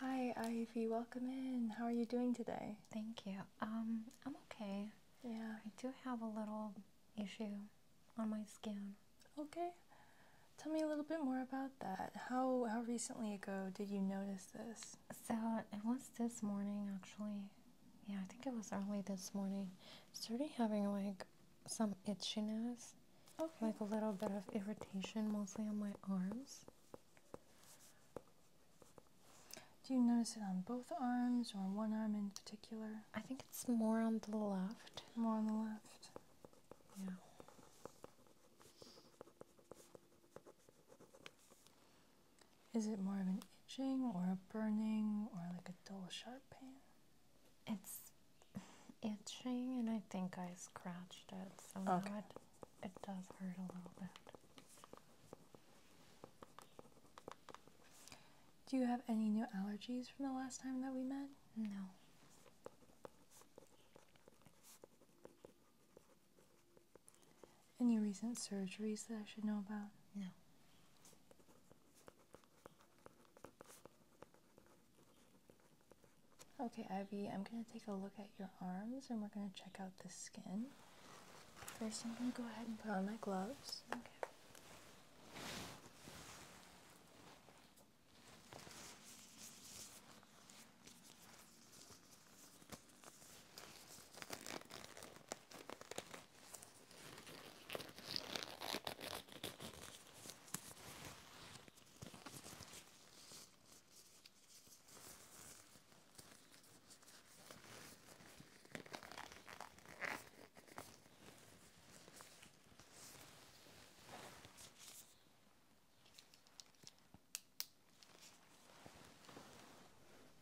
Hi, Ivy. Welcome in. How are you doing today? Thank you. Um, I'm okay. Yeah. I do have a little issue on my skin. Okay. Tell me a little bit more about that. How how recently ago did you notice this? So it was this morning, actually. Yeah, I think it was early this morning. I started having like some itchiness, okay. like a little bit of irritation, mostly on my arms. Do you notice it on both arms or one arm in particular? I think it's more on the left. More on the left. Yeah. Is it more of an itching or a burning or like a dull sharp pain? It's itching and I think I scratched it, so okay it does hurt a little bit. Do you have any new allergies from the last time that we met? No. Any recent surgeries that I should know about? No. Okay, Ivy, I'm going to take a look at your arms and we're going to check out the skin. First, I'm going to go ahead and put on my gloves.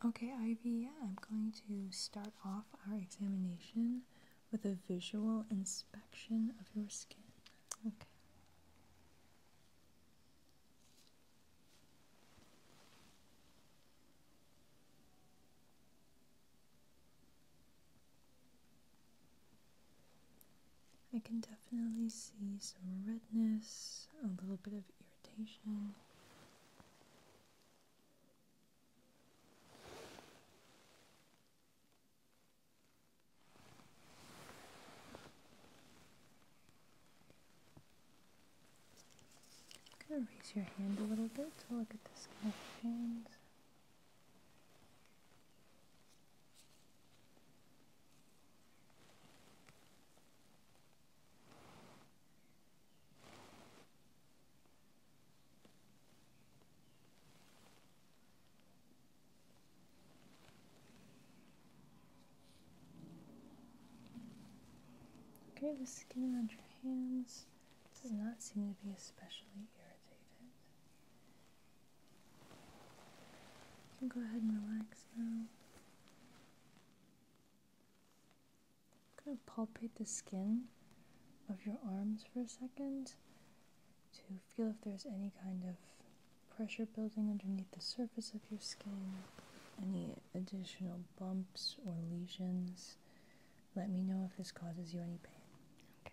Okay, Ivy, I'm going to start off our examination with a visual inspection of your skin. Okay. I can definitely see some redness, a little bit of irritation. I'm going to raise your hand a little bit to look at the skin of hands. Okay, the skin around your hands does not seem to be especially irritated. You can go ahead and relax now. I'm going to palpate the skin of your arms for a second to feel if there's any kind of pressure building underneath the surface of your skin, any additional bumps or lesions. Let me know if this causes you any pain. Okay.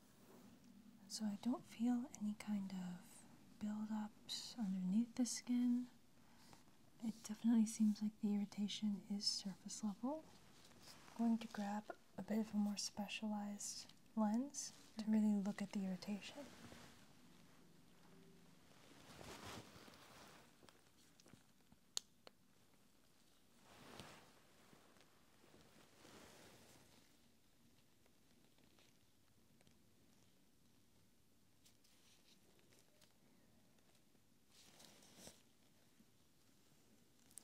So I don't feel any kind of buildups underneath the skin. It definitely seems like the irritation is surface level. I'm going to grab a bit of a more specialized lens to really look at the irritation.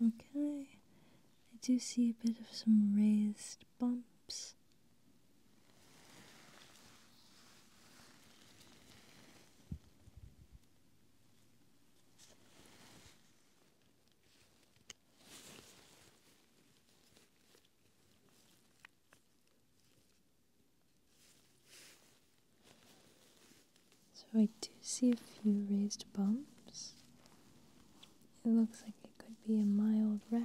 Okay, I do see a bit of some raised bumps. So I do see a few raised bumps. It looks like it could be a mild rash.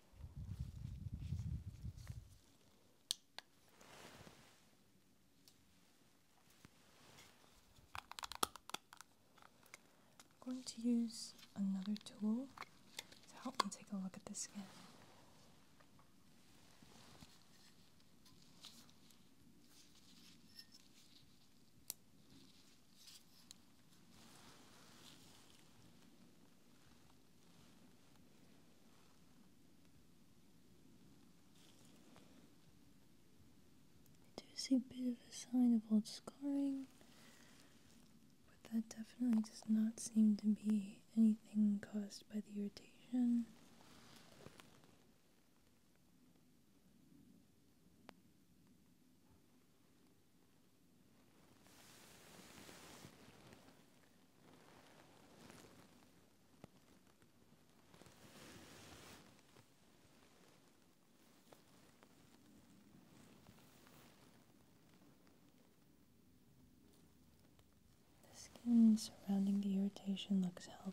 I'm going to use another tool to help me take a look at the skin. I do see a bit of a sign of old scarring, but that definitely does not seem to be anything caused by the irritation. The skin surrounding the irritation looks healthy.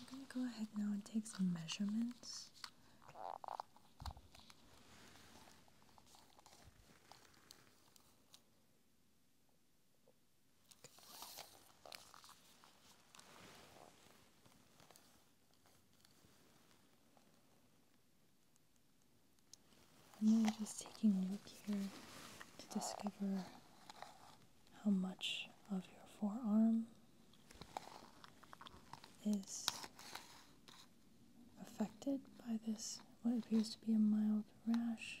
I'm going to go ahead now and take some measurements. I'm just taking a look here to discover how much of your forearm is affected by this, what appears to be a mild rash.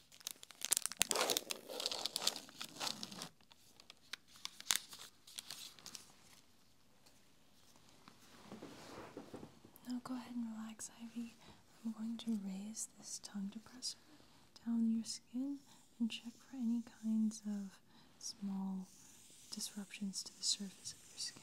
Now go ahead and relax, Ivy. I'm going to raise this tongue depressor down your skin and check for any kinds of small disruptions to the surface of your skin.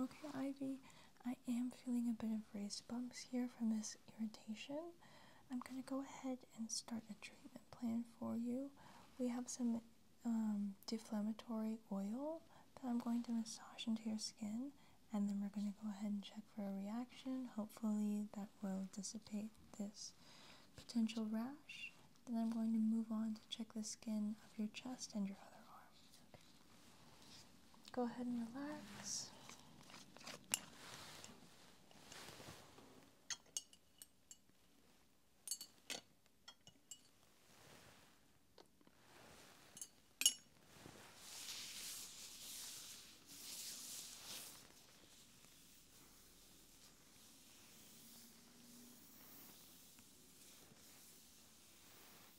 Okay, Ivy, I am feeling a bit of raised bumps here from this irritation. I'm going to go ahead and start a treatment plan for you. We have some um, deflammatory oil that I'm going to massage into your skin and then we're going to go ahead and check for a reaction. Hopefully that will dissipate this potential rash. Then I'm going to move on to check the skin of your chest and your other arm. Go ahead and relax.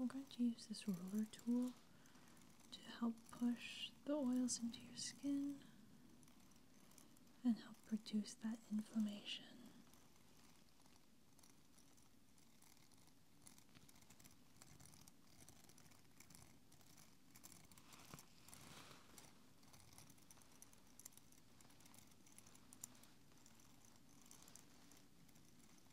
I'm going to use this roller tool to help push the oils into your skin and help reduce that inflammation.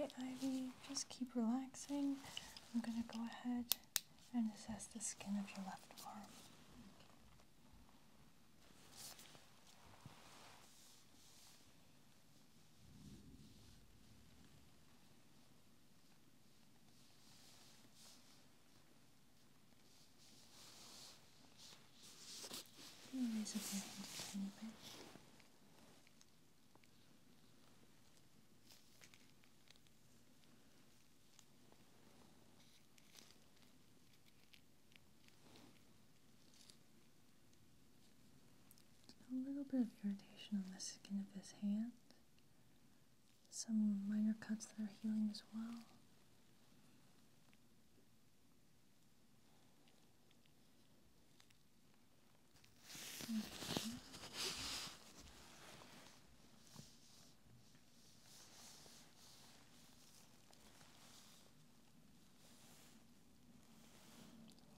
Okay, Ivy, just keep relaxing. I'm gonna go ahead and it says the skin of your left arm. Raise your hand a tiny bit. A little bit of irritation on the skin of his hand. Some minor cuts that are healing as well.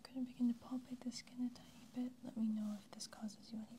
I'm going to begin to palpate the skin a tiny bit. Let me know if this causes you any pain.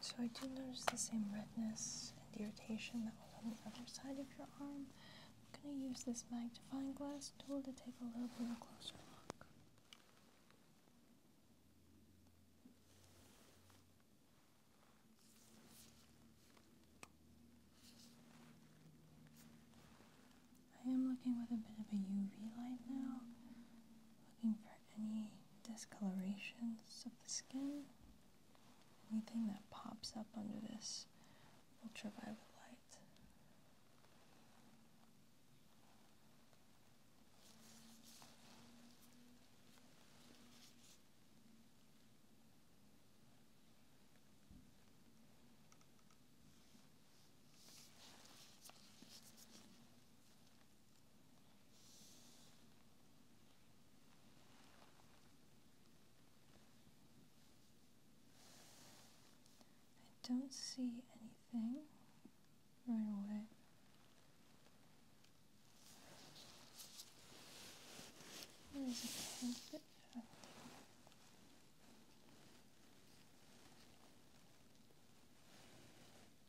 So I do notice the same redness and irritation that was on the other side of your arm. I'm going to use this magnifying glass tool to take a little bit of a closer look. I am looking with a bit of a UV light now, looking for any discolorations of the skin anything that pops up under this ultraviolet light. I don't see anything right away. There's a little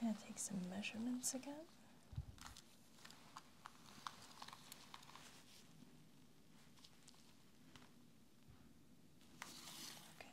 Gonna take some measurements again. Okay.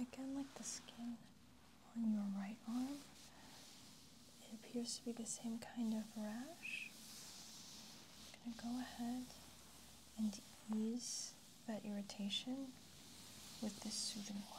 Again, like the skin on your right arm, it appears to be the same kind of rash. I'm going to go ahead and ease that irritation with this soothing oil.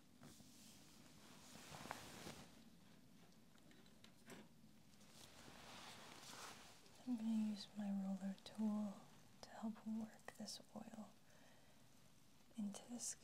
I'm going to use my roller tool to help work this oil into the skin.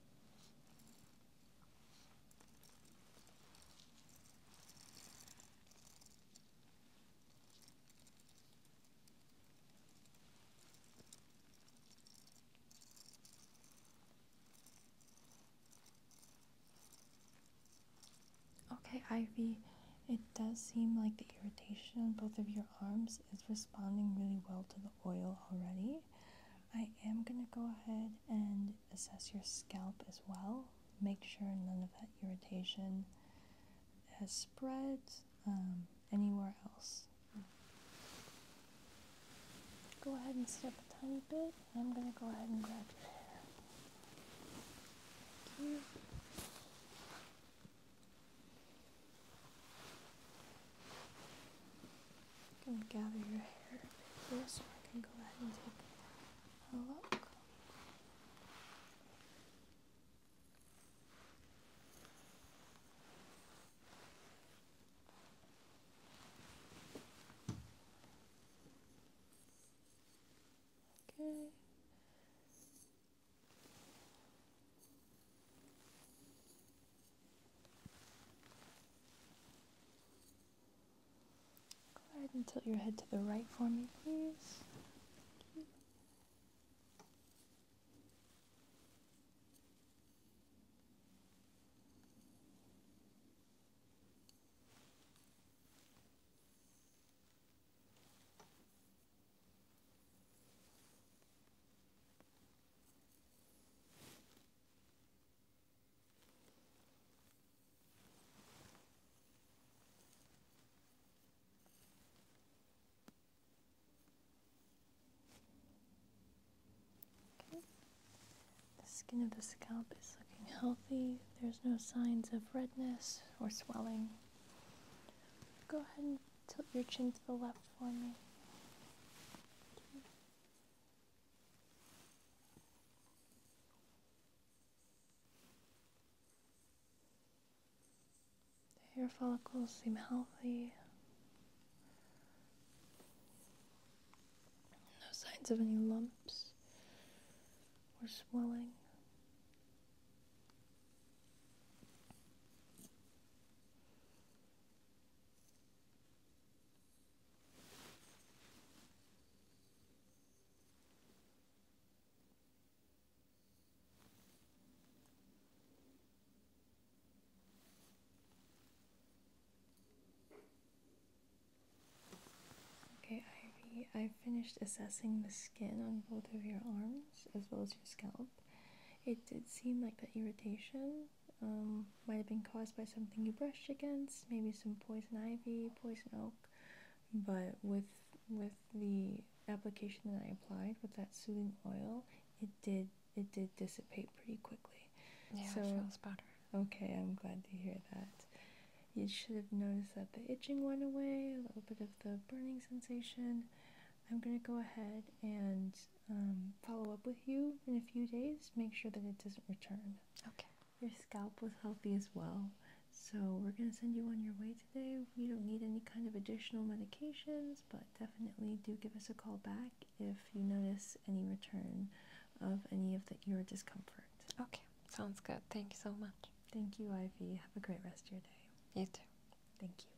Okay, Ivy, it does seem like the irritation on both of your arms is responding really well to the oil already. I am going to go ahead and assess your scalp as well. Make sure none of that irritation has spread um, anywhere else. Go ahead and sit up a tiny bit. I'm going to go ahead and grab your hair. Thank you. I'm gonna gather your hair here so I can go ahead and take a look. Okay. Go ahead and tilt your head to the right for me, please. The skin of the scalp is looking healthy. There's no signs of redness or swelling. Go ahead and tilt your chin to the left for me. Your follicles seem healthy. No signs of any lumps or swelling. Okay, Ivy, I've finished assessing the skin on both of your arms as well as your scalp. It did seem like the irritation um, might have been caused by something you brushed against, maybe some poison ivy, poison oak. But with with the application that I applied with that soothing oil, it did it did dissipate pretty quickly. Yeah, so, it better. Okay, I'm glad to hear that. You should have noticed that the itching went away, a little bit of the burning sensation. I'm going to go ahead and um, follow up with you in a few days, make sure that it doesn't return. Okay. Your scalp was healthy as well. So we're going to send you on your way today. We don't need any kind of additional medications, but definitely do give us a call back if you notice any return of any of the, your discomfort. Okay, sounds good. Thank you so much. Thank you, Ivy. Have a great rest of your day. You too. Thank you.